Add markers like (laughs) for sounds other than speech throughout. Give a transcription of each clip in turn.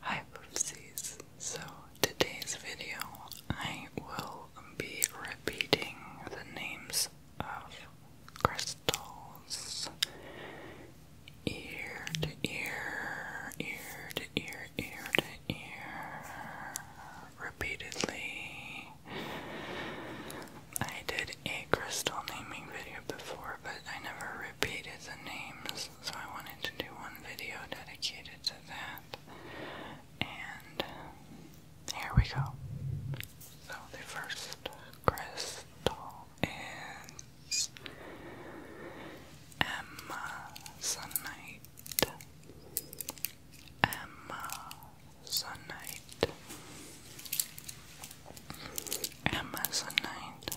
Hi Poopsies! So today's video I will be repeating the names of crystals ear to ear, ear to ear, ear to ear repeatedly. I did a crystal naming video before, but I never repeated the names, so I wanted to do one video dedicated to that. And here we go. So the first crystal is Emma Sunite. Emma Sunite. Amazonite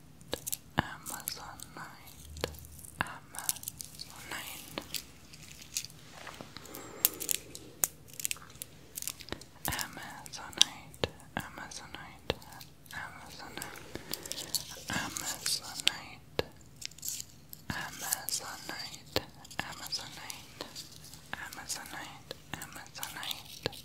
Amazonite, Amazonite, Amazonite, Amazonite, Amazonite, Amazonite, Amazonite, Amazonite, Amazonite, Amazonite.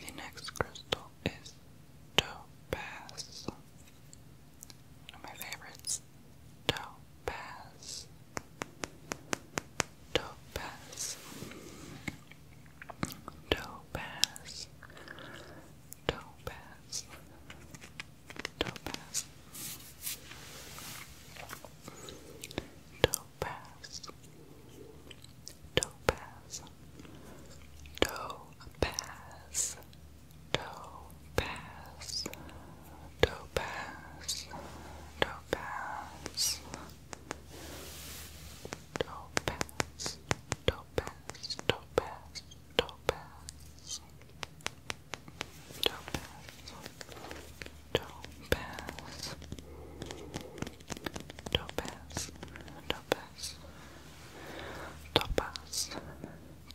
The next crystal is topaz. One of my favorites. Topaz. Topaz. Topaz. Topaz. Topaz. Topaz topaz, topaz, topaz, topaz, topaz, topaz. Topaz, topaz, topaz, topaz, topaz, Topaz. Topaz. Topaz. Topaz.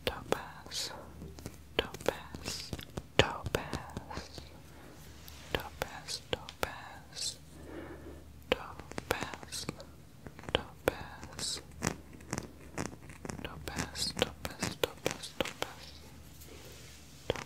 Topaz. Topaz. Topaz. Topaz. Topaz. Topaz. Topaz. Topaz. Topaz. Topaz. Topaz. Topaz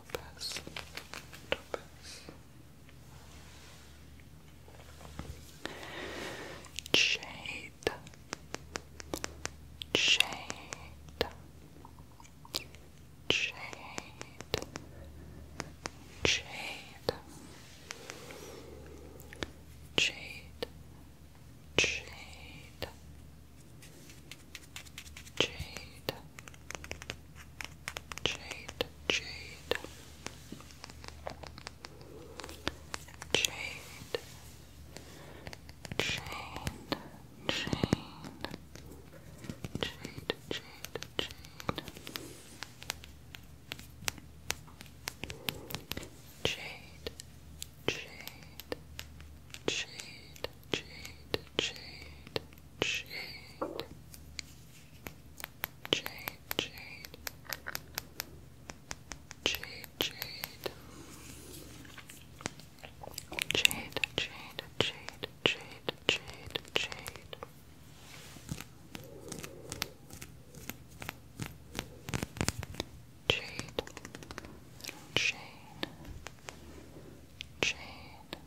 Topaz, Topaz. Shade, shade, shade, shade, Jade, Jade, Jade, Jade, Jade, Jade, Jade, Jade, Jade. Jade, Jade, Jade, Jade, Jade, Jade. Jade, Jade. Jade, Jade. Jade, Jade, Jade, Jade, Jade, Jade. Jade, Jade, Jade,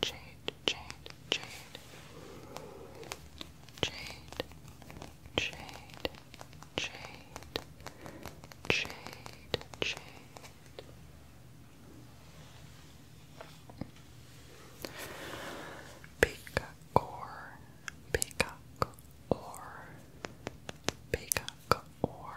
jade, jade, jade, jade, jade, jade, jade, jade. Peacock or peacock or peacock or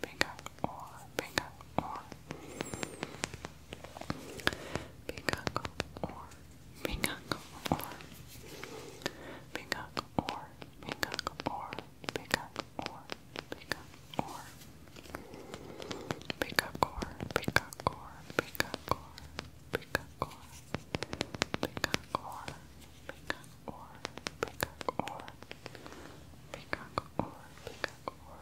bigger or bigger or bigger or bigger or bigger or bigger or bigger or bigger or bigger or bigger or bigger or bigger or bigger or bigger or bigger or Big or big or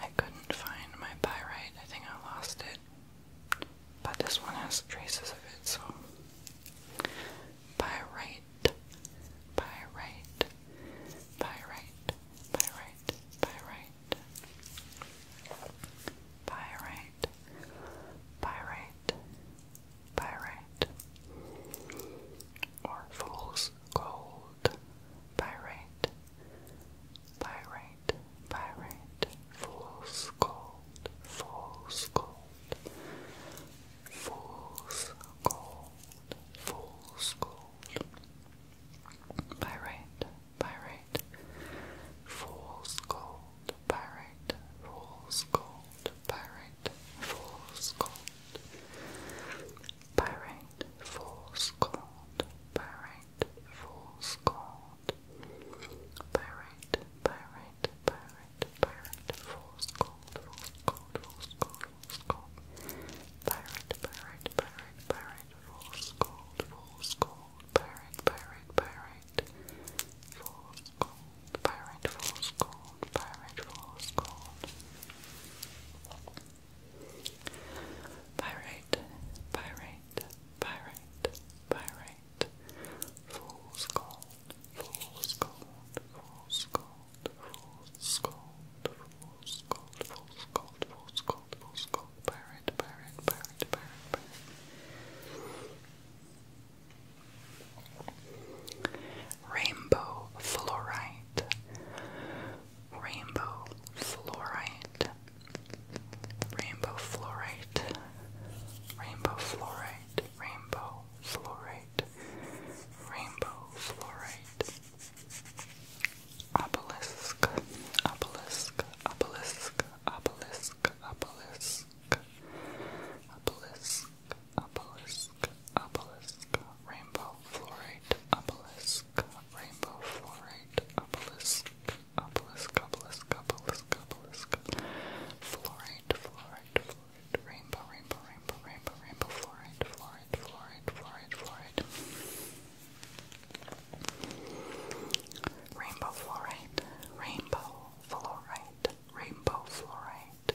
I couldn't find my pyrite. I think I lost it. But this one has traces of it, so. Pyrite. Pyrite. Pyrite. Pyrite. Pyrite. Pyrite. Pyrite. Pyrite pyrite or fool's gold pyrite pyrite pyrite fool's gold fool's gold fool's gold fool's gold pyrite pyrite fool's gold pyrite fool's gold gold, pyrite, false gold, pyrite, false gold, pyrite, false gold, pyrite, pyrite, pyrite, pyrite, false gold, false gold, false gold, false gold, pyrite, pyrite, pyrite, pyrite, false gold, false gold, pyrite, pyrite, pyrite, false Pirate Falls Gold, Pirate Falls Gold. Pirate. Pyrite, Pyrite, Pyrite. Fool's Gold, Fool's Gold, Fool's Gold, Fool's Gold, Fool's Gold, Fool's Gold, Fool's Gold, Fool's Gold, Pyrite, Pyrite, Pyrite, Pyrite, Rainbow fluorite. Rainbow fluorite. Rainbow fluorite. Rainbow fluorite. Rainbow fluorite. Rainbow fluorite. Obelisk. Obelisk. Obelisk. Obelisk. Obelisk. Obelisk obelisk, obelisk, rainbow fluorite, obelisk, rainbow fluorite, obelisk, obelisk, obelisk, obelisk, obelisk, fluorite, fluorite, fluorite, rainbow, rainbow, rainbow, rainbow, rainbow, fluorite, fluorite, fluorite, fluorite, fluorite. Rainbow fluorite, rainbow fluorite, rainbow fluorite,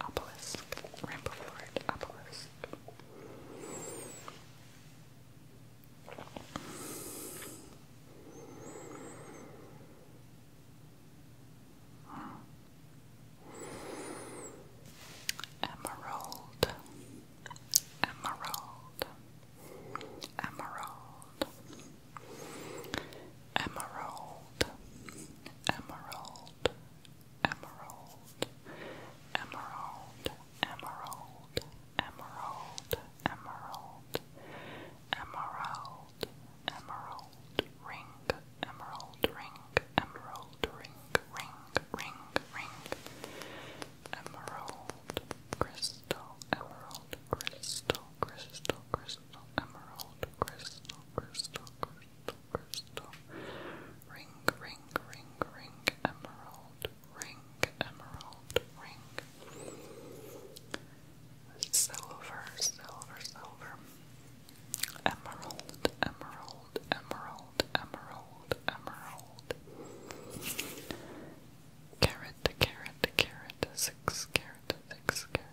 Apollis, Rampoflord Obelisk. Hmm. Emerald, emerald, emerald, emerald, emerald, emerald, emerald, emerald, emerald, emerald, emerald, emerald, ring, emerald, ring, emerald, ring, ring, ring, ring, emerald, crystal, emerald, crystal, crystal, crystal, emerald, crystal, crystal, crystal the crystal. Ring, ring, ring, ring, emerald, ring, emerald, ring. Silver, silver, silver. Emerald, emerald, emerald, emerald, emerald. Carrot, carrot, carrot, six, carrot, six, carrot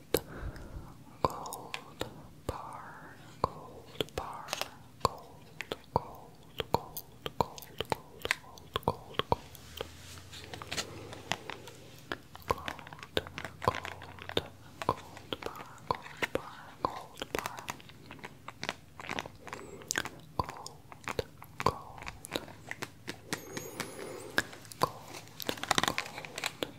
gold, bar, gold bar, gold, gold, gold, gold, gold, gold, gold, gold. Gold, gold, bar, gold bar, gold bar. Gold, gold. Gold, gold,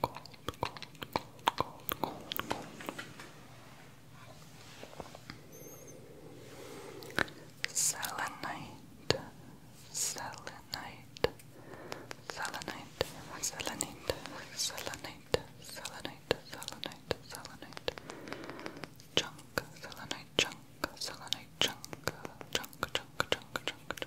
cold, Selenite, selenite, selenite, selenite, selenite, selenite, selenite, selenite, chunk, selenite, chunk, selenite, chunk, chunk, chunk, chunk, chunk, chunk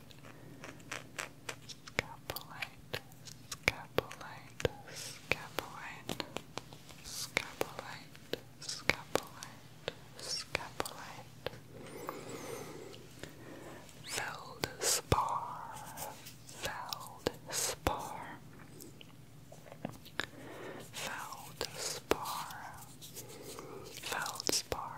Scapulite, scapulite, scapulite, scapulite, scapulite, scapulite. Feldspar, feldspar, feldspar, feldspar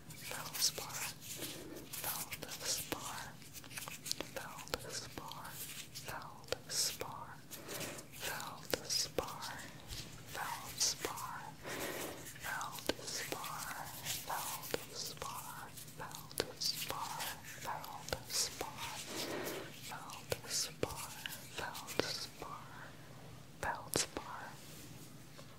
Feldspar, Feldspar, Feldspar, Feldspar, Feldspar, Feldspar, Feldspar, Feldspar, Feldspar, Feldspar, Feldspar, Feldspar, Feldspar,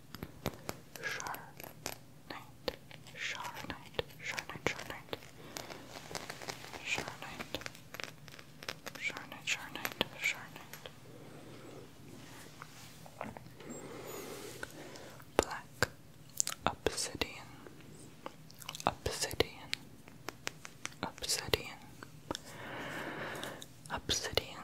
Charnite, Charnite, Charnite, Charnite, Charnite, Charnite, Charnite, Charnite. Black Obsidian, Obsidian, Obsidian, Obsidian,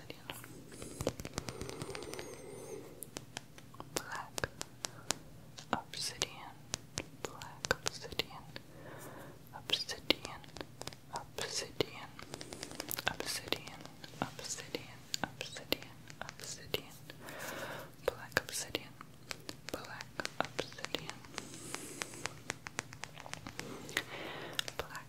obsidian. Black obsidian. Black obsidian. Obsidian. Obsidian. Obsidian. Obsidian. Obsidian. Black obsidian. Black obsidian. Black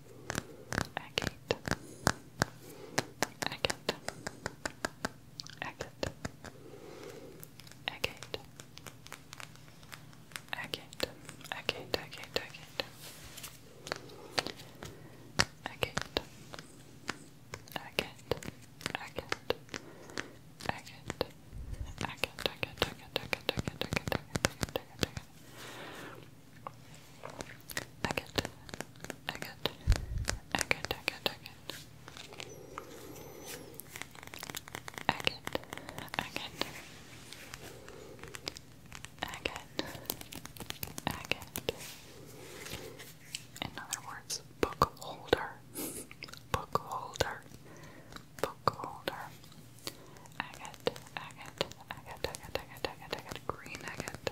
agate agate agate agate agate agate agate agate agate agate agate agate Agate, agate, agate, agate, agate, agate, agate, agate, agate, agate, Agate, agate, agate, agate, agate. Agate, agate. Agate, agate. In other words, book holder, book holder, book holder. Agate, agate, agate, agate, agate, agate, green agate,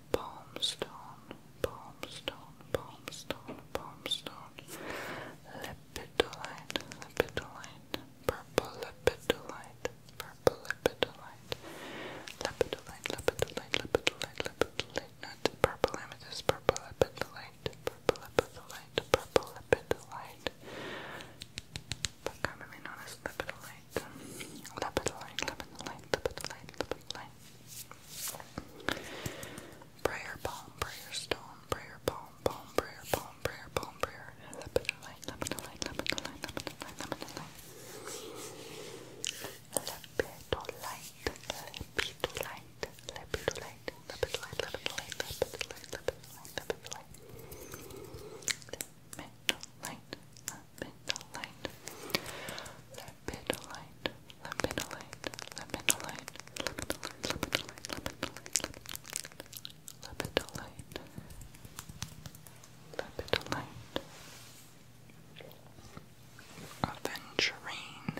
palm stone, palm stone, palm stone, palm stone, lepidolite, lepidolite, purple lepidolite, purple lepidolite, lepidolite, lepidolite, lepidolite, lepidolite, not purple amethyst, purple lepidolite, purple lepidolite, purple lepidolite, but commonly known as lepidolite, lepidolite, lepidolite, lepidolite, lepidolite. Prayer palm, prayer stone, prayer palm, palm, prayer palm, prayer palm, prayer. Lemonite, lemonite, lemonite, lemonite, lemonite. Lepidolite, lepidolite, lepidolite, lepidolite, lepidolite, lepidolite, lepidolite, lepidolite. Lepidolite, lepidolite, lepidolite, Lepidolite, lepidolite, lepidolite, lepidolite, lepidolite, lepidolite, lepidolite, aventurine,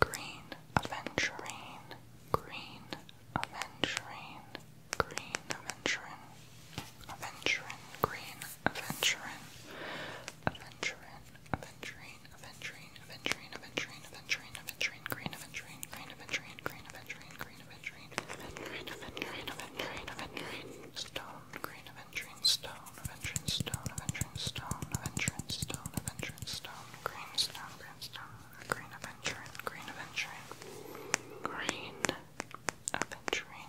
green aventurine, green aventurine, green aventurine, aventurine, green, aventurine, aventurine, aventurine, aventurine, aventurine, aventurine, aventurine, aventurine, green, aventurine, green, aventurine, green, aventurine, green, aventurine, aventurine, aventurine, aventurine, stone, green, aventurine, stone, aventurine, stone, aventurine, stone, aventurine, stone, green, stone, green, stone, green, aventurine, green, aventurine, green, aventurine.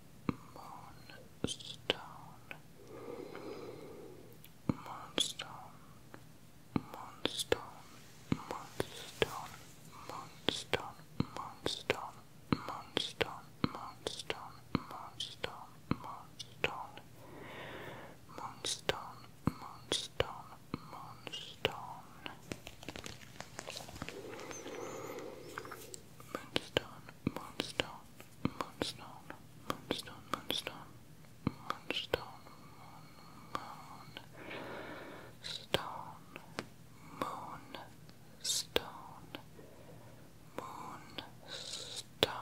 Moonstone, Moonstone, Moonstone, Moonstone, Moonstone, Moonstone, Moonstone, Moonstone, Moonstone, Moonstone, Moonstone, Moonstone, Moonstone. Moonstone, Moonstone, Moonstone, Moonstone, Moonstone, Moonstone, Moon, Stone, Moon, Stone, Moon, Stone, Moonstone.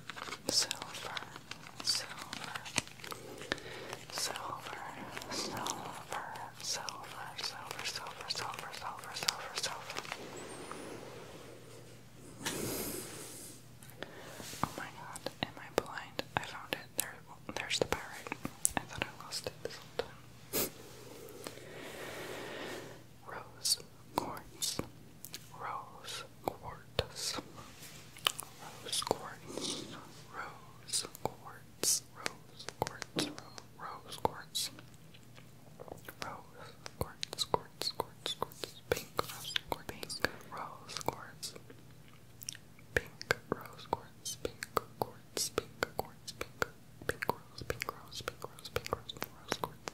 silver, silver, silver, silver, silver, silver, silver, silver, silver, silver, silver. Oh my god, am I blind? I found it. There, there's the pirate. I thought I lost it this whole time. Rose, quartz, rose quartz, rose quartz, rose quartz, rose quartz, rose quartz, rose quartz, quartz, quartz, quartz, pink quartz, pink rose quartz, pink rose quartz, pink quartz, pink quartz, pink, pink rose, pink rose, pink rose, pink rose, rose quartz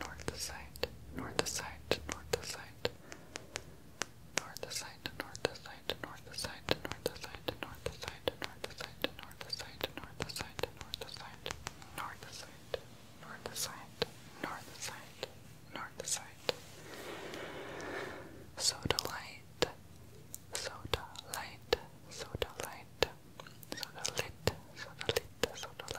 north the side, north the side, north the side, north the side, north the side, north the side, north the side, north the side, north the side, north the side, north the side, north the side, north to side, north to side, north to side, north to side. Soda light, soda light, soda light, soda lit, soda lit, soda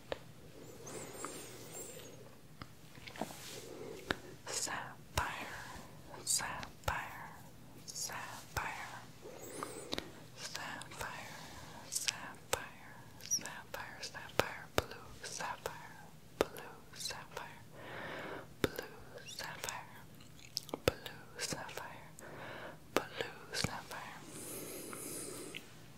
sapphire, sapphire, sapphire, sapphire, sapphire, sapphire, sapphire, blue sapphire, blue sapphire, blue sapphire, blue sapphire, blue sapphire. Blue sapphire.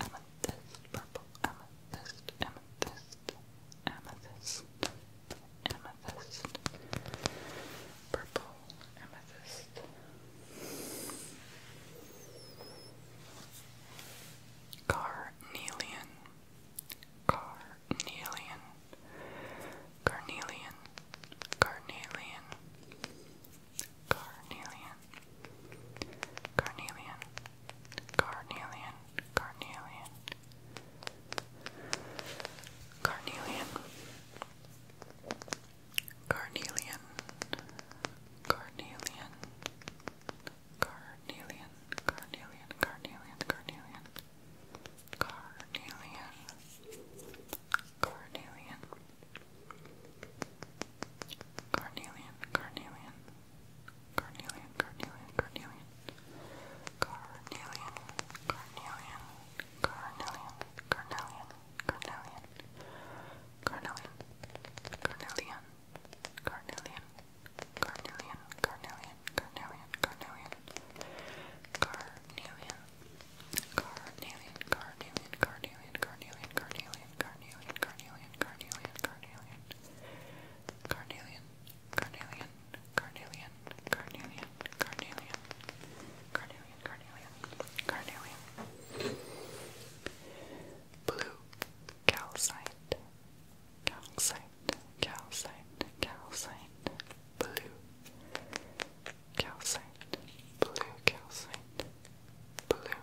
amethyst, purple amethyst, amethyst, amethyst, amethyst, purple amethyst. Carnelian, carnelian, carnelian, carnelian, carnelian, Carnelian, Carnelian, Carnelian, Carnelian, Carnelian, Carnelian, Carnelian, Carnelian, Carnelian, Carnelian, Carnelian, Carnelian. Carnelian, carnelian, Carnelian, carnelian, carnelian. Carnelian, carnelian, carnelian, carnelian, carnelian. Carnelian, carnelian, carnelian, carnelian, carnelian, carnelian, carnelian. Carnelian, carnelian, carnelian, carnelian, carnelian, carnelian, carnelian, carnelian, carnelian, carnelian, carnelian, carnelian, carnelian, carnelian, carnelian, carnelian, carnelian, carnelian, blue calcite, calcite, calcite, calcite, blue calcite, blue calcite, blue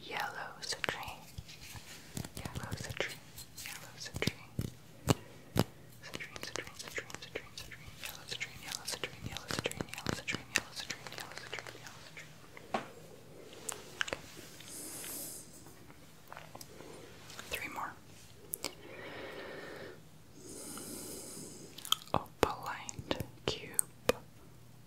Yellow citrine. Yellow dream. Yellow citrine. Citrine, citrine, citrine, citrine, citrine. Yellow citrine, yellow citrine, yellow citrine, yellow citrine, yellow citrine, yellow citrine, yellow citrine. Three more. Opaline oh, cube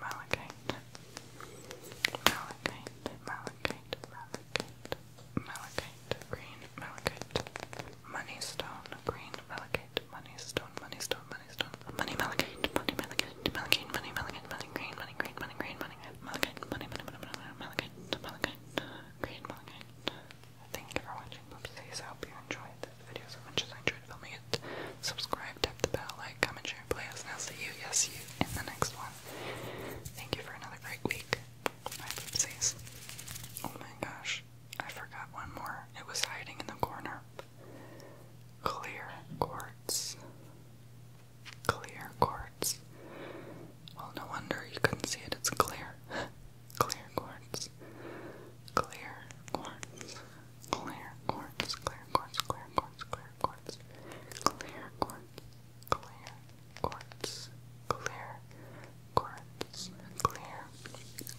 malachite, malachite, malachite, malachite, malachite, green malachite, money stone, green malachite, money stone, money stone, money stone, money malachite, money malachite, malachite, money malachite, money green, money green, money green, money malachite, money, money, money, money, malachite, malachite, green malachite. Thank you for watching, Boopsies. I hope you enjoyed this video as much as I enjoyed filming it. Subscribe, tap the bell, like, comment, share. I'll see you, yes, you, in the next one. Thank you for another great week. My poopsies. Oh my gosh, I forgot one more. It was hiding in the corner. Clear quartz. Clear quartz. Well, no wonder you couldn't see it. It's clear. (laughs) clear quartz. Clear quartz. Clear quartz. Clear quartz. Clear quartz quartz, clear quartz, clear quartz, clear quartz, clear, clear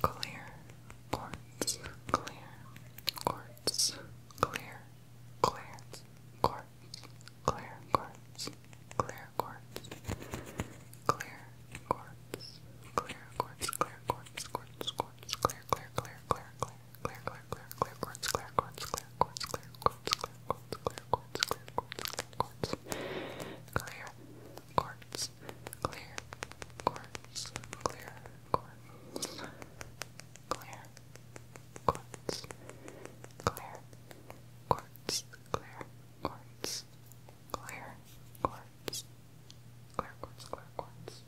quartz, clear quartz, clear, clear quartz, clear quartz, clear quartz, clear quartz, clear quartz, clear quartz, quartz, quartz, clear, clear, clear, clear, clear clear, clear, clear, clear quartz, clear quartz, clear quartz, clear quartz, clear quartz, clear quartz, clear quartz, clear quartz, clear quartz, clear quartz, clear quartz, clear quartz, clear quartz, clear quartz, clear quartz, clear quartz, clear quartz.